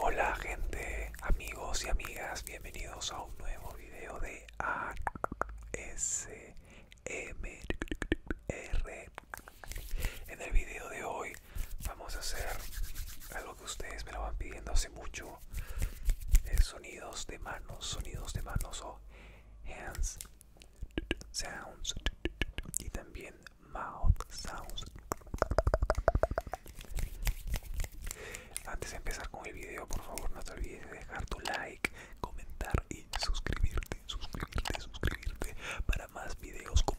Hola gente, amigos y amigas, bienvenidos a un nuevo video de ASMR. En el video de hoy vamos a hacer algo que ustedes me lo van pidiendo hace mucho sonidos de manos sonidos de manos o hands sounds y también mouth sounds antes de empezar con el video por favor no te olvides de dejar tu like comentar y suscribirte suscribirte suscribirte para más videos como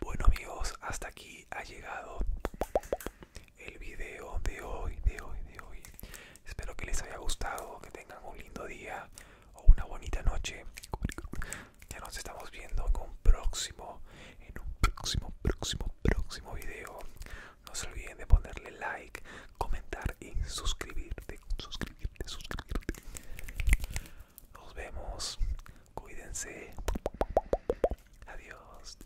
Bueno amigos, hasta aquí ha llegado el video de hoy, de hoy, de hoy. Espero que les haya gustado, que tengan un lindo día o una bonita noche. Ya nos estamos viendo en un próximo, en un próximo, próximo, próximo video. No se olviden de ponerle like, comentar y suscribirte, suscribirte, suscribirte. Nos vemos. Cuídense. Adiós.